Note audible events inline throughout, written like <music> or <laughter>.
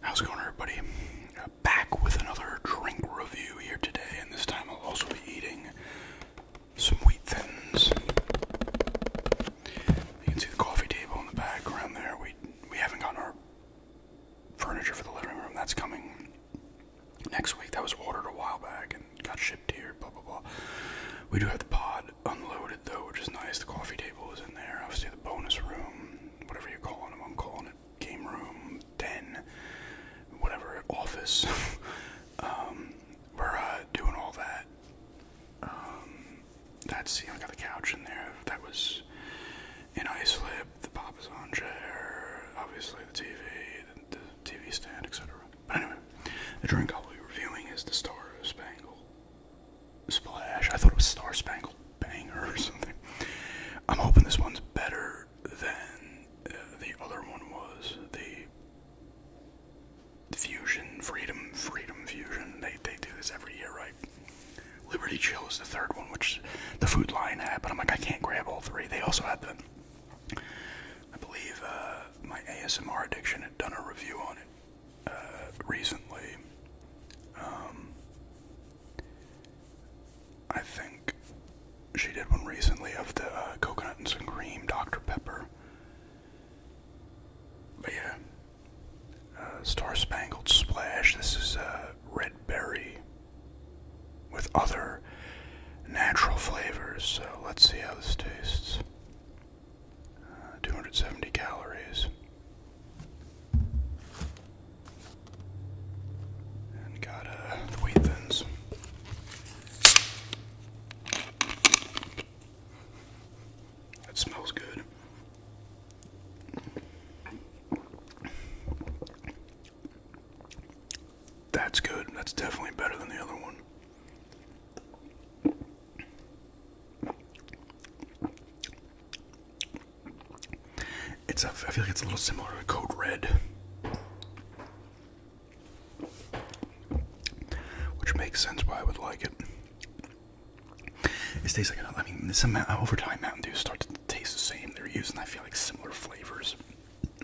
How's it going, everybody? Uh, back with another drink review here today, and this time I'll also be eating some wheat thins. You can see the coffee table in the back around there. We we haven't gotten our furniture for the living room. That's coming next week. That was ordered a while back and got shipped here. Blah blah blah. We do have the pod unloaded though, which is nice. The coffee table is in there. Obviously, the bonus room, whatever you're calling them, I'm calling it game room, den, whatever, office. <laughs> um, we're uh, doing all that. Um, that's, you I got the couch in there. That was in slip. the papa's on chair, obviously the TV, the, the TV stand, etc. But anyway, the drink I'll be reviewing is the Star Spangled Splash. I thought it was Star Spangled Banger or something. I'm hoping this one's better than uh, the other one was. The Fusion, Freedom, Freedom Fusion. They, they do this every year, right? Liberty Chill is the third one, which the Food line had, but I'm like, I can't grab all three. They also had the, I believe, uh, my ASMR addiction had done a review on it. Uh, recently. Um, I think she did one recently of the uh, coconut and some cream Dr. Pepper. But yeah, uh, Star Spangled Splash. This is uh, red berry with other natural flavors. So let's see how this tastes. 270 calories. And got uh, wheat thins. That smells good. That's good. That's definitely better than the other one. It's a, I feel like it's a little similar to Code Red, which makes sense why I would like it. It tastes like I mean, this amount over time Mountain Dew starts to taste the same. They're using I feel like similar flavors,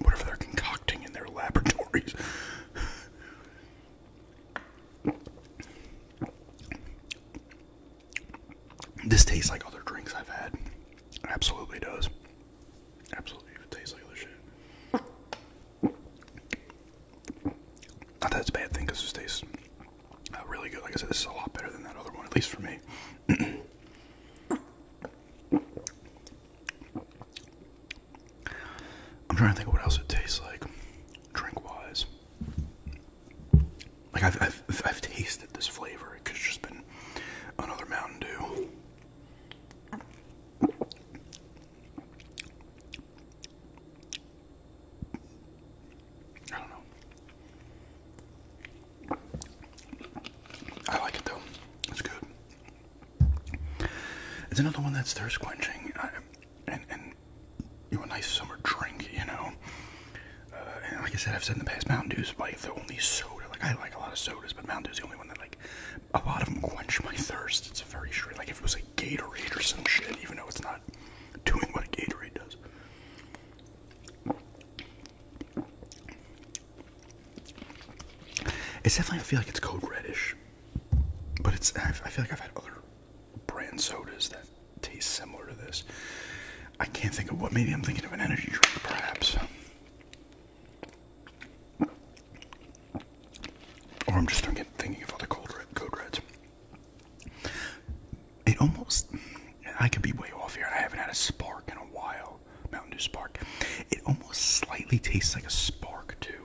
whatever they're concocting in their laboratories. This tastes like other drinks I've had. absolutely does. Absolutely tastes like other shit. Not that it's a bad thing because this tastes uh, really good. Like I said, this is a lot better than that other one, at least for me. <clears throat> I'm trying to think of what else it tastes like, drink wise. Like I've I've, tasted this flavor. It could just been another Mountain Dew. I don't know. I like it though. It's good. It's another one that's thirst quenching, and and you know, a nice summer drink, you know. Uh, like I said, I've said in the past, Mountain Dew's like the only soda. Like I like a lot of sodas, but Mountain Dew is the only one that like a lot of them quench my thirst. It's very straight. Like if it was like Gatorade or some shit, even though it's not doing what a Gatorade does. It's definitely I feel like it's code reddish, but it's I feel like I've had other brand sodas that taste similar to this. I can't think of what. Maybe I'm thinking of an energy drink, perhaps. Or I'm just thinking, thinking of other cold red, code reds. It almost, I could be way off here. I haven't had a spark in a while. Mountain Dew Spark. It almost slightly tastes like a spark, too.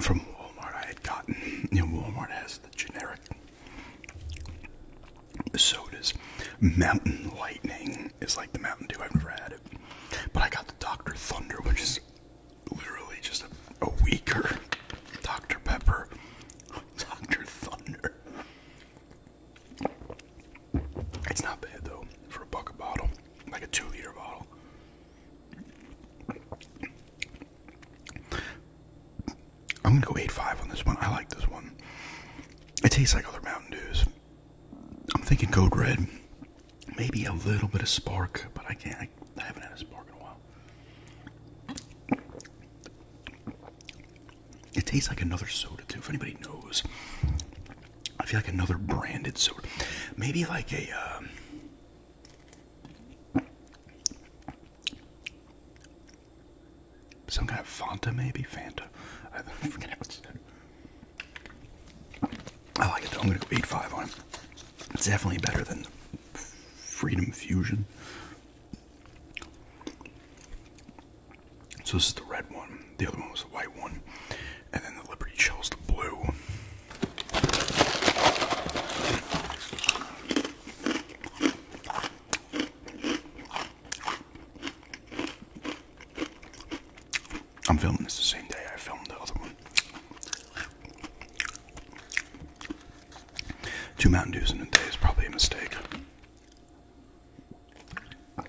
From Walmart, I had gotten, you Walmart has the generic sodas. Mountain Lightning is like the Mountain Dew, I've never had it. But I got the Dr. Thunder, which is literally just a weaker Dr. Pepper. <laughs> Dr. Thunder. It's not bad though for a bucket bottle, like a two liter bottle. I'm gonna go eight-five on this one. I like this one. It tastes like other Mountain Dews. I'm thinking Code Red. Maybe a little bit of spark, but I can't. I, I haven't had a spark in a while. It tastes like another soda too. If anybody knows, I feel like another branded soda. Maybe like a. Um, some kind of Fanta, maybe Fanta. I <laughs> forget how it's I like it though. I'm gonna go eight five on It's definitely better than Freedom Fusion. So this is the red one. The other one was the white one, and then the Liberty Shell's the blue. I'm filming this the same day I filmed the other one. Two Mountain Dews in a day is probably a mistake but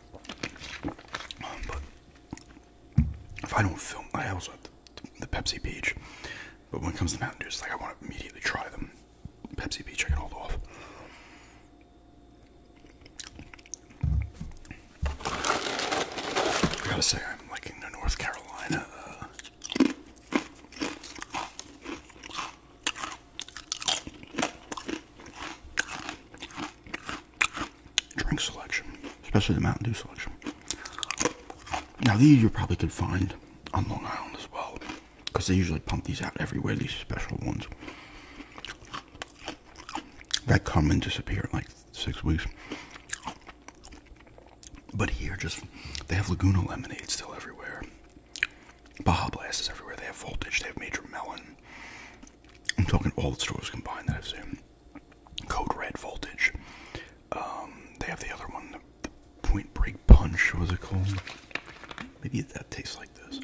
if I don't film, I also have the, Pepsi Peach. But when it comes to Mountain Dew, it's like I want to immediately try them. Pepsi Peach, I can hold off. I gotta say, I'm liking the North Carolina. Uh, drink selection, especially the Mountain Dew selection. Now these you probably could find on Long Island as well, because they usually pump these out everywhere. These special ones that come and disappear in like six weeks. But here, just they have Laguna lemonade still everywhere. Baja Blast is everywhere. They have Voltage, they have Major Melon. I'm talking all the stores combined that I've seen. Code Red, Voltage. Um, they have the other one, the, Point Break Punch, was it called? Maybe that tastes like this.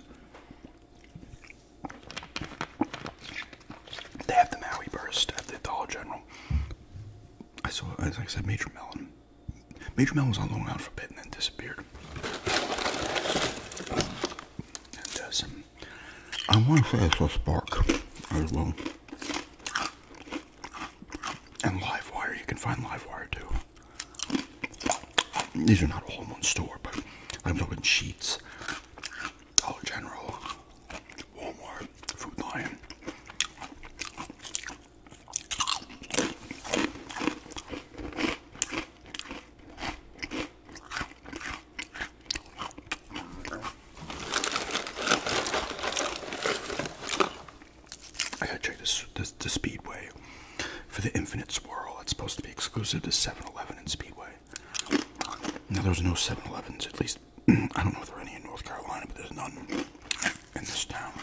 They have the Maui Burst at the Dollar General. I saw, as I said, Major Melon. Major Mel was on the Island for a bit and then disappeared. Uh, I want to say it's a Spark as well. And Live Wire. you can find Live Wire too. These are not all in one store, but I'm talking Sheets, Dollar General, Walmart, Food Lion. I gotta check this, the Speedway for the Infinite Swirl. It's supposed to be exclusive to 7-Eleven and Speedway. Now there's no 7-Elevens, at least <clears throat> I don't know if there are any in North Carolina, but there's none in this town.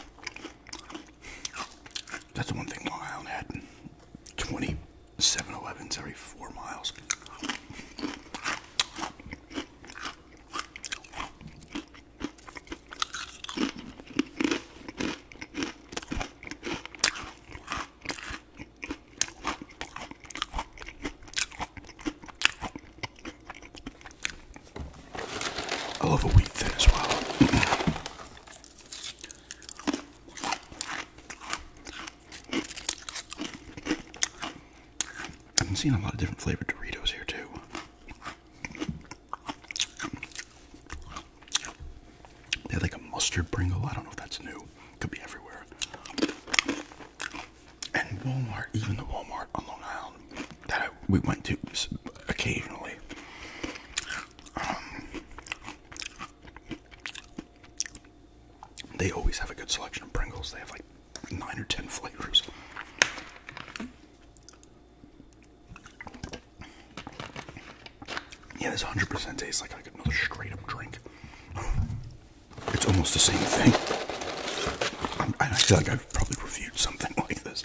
That's the one thing Long Island had 20 7 Elevens every four miles. I love a wheat thin as well. I'm seeing a lot of different flavored Doritos here too. They have like a mustard Pringle. I don't know if that's new. Could be everywhere. And Walmart, even the Walmart on Long Island, that we went to occasionally. Um, they always have a good selection of Pringles. They have like nine or ten flavors. Yeah, this 100% tastes like, like another straight up drink. It's almost the same thing. I feel like I've probably reviewed something <laughs> like this.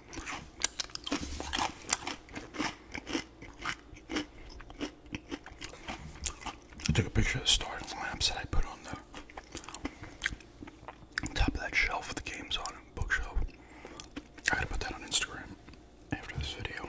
I took a picture of the starting lamps that I put on the top of that shelf with the games on bookshelf. I gotta put that on Instagram after this video.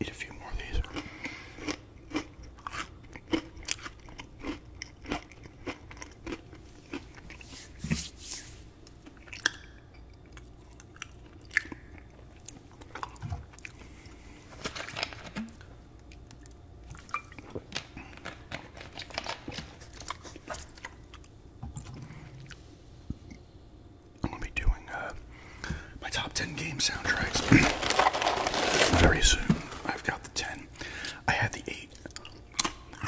Eat a few more of these. I'm gonna be doing uh, my top 10 game soundtracks <clears throat> very soon. I've got the 10. I had the 8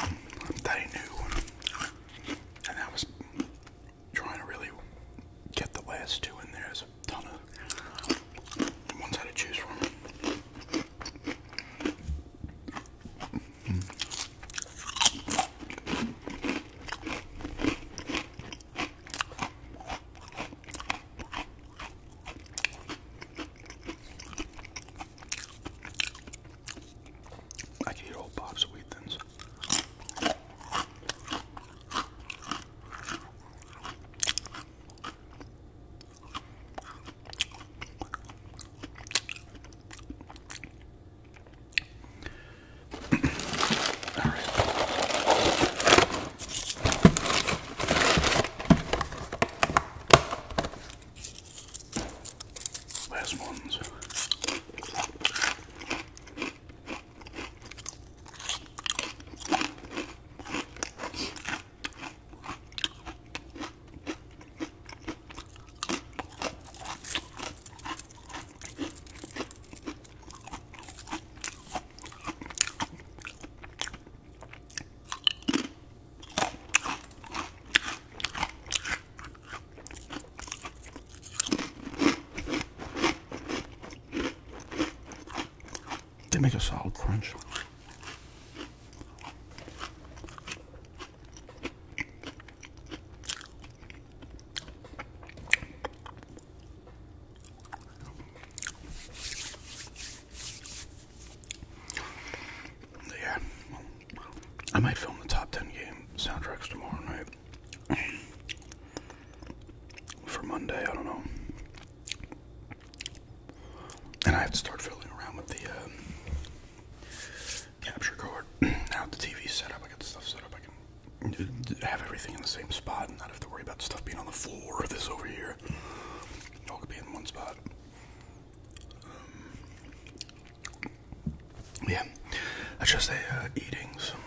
um, that I knew, and I was trying to really get the last two in there. So, a ton of ones I had to choose from. I can eat a whole box of wheat thins. All right. Last ones. They make a solid crunch. Yeah, I might film the top 10 game soundtracks tomorrow night. For Monday, I don't know. And I have to start fiddling around with the uh, capture card. now <clears throat> the TV's set up, I got stuff set up, I can have everything in the same spot and not have to worry about stuff being on the floor or this over here. all could be in one spot. Um, yeah, that's just a uh, eating some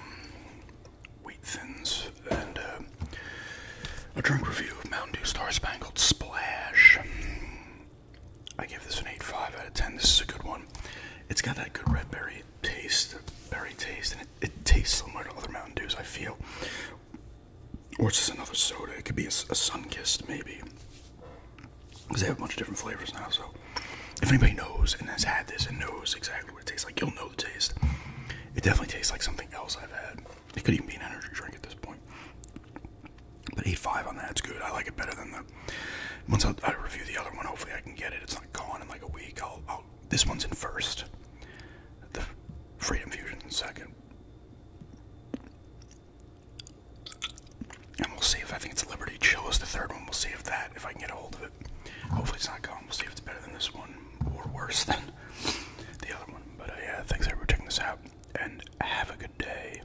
wheat thins and uh, a drunk review of Mountain Dew Star Spangled Splash. I give this an 8.5 out of 10. This is a good one. It's got that good red berry taste, berry taste, and it, it tastes similar to other Mountain Dews, I feel. Or it's just another soda. It could be a, a sun maybe. Because they have a bunch of different flavors now, so. If anybody knows and has had this and knows exactly what it tastes like, you'll know the taste. It definitely tastes like something else I've had. It could even be an energy drink at this point. But 8.5 on that, it's good. I like it better than the once I, review the other one, hopefully I can get it. It's not gone in like a week. this one's in first. Freedom Fusion in second. And we'll see if I think it's Liberty Chill is the third one. We'll see if that, if I can get a hold of it. Hopefully it's not gone. We'll see if it's better than this one or worse than the other one. But uh, yeah, thanks everyone for checking this out. And have a good day.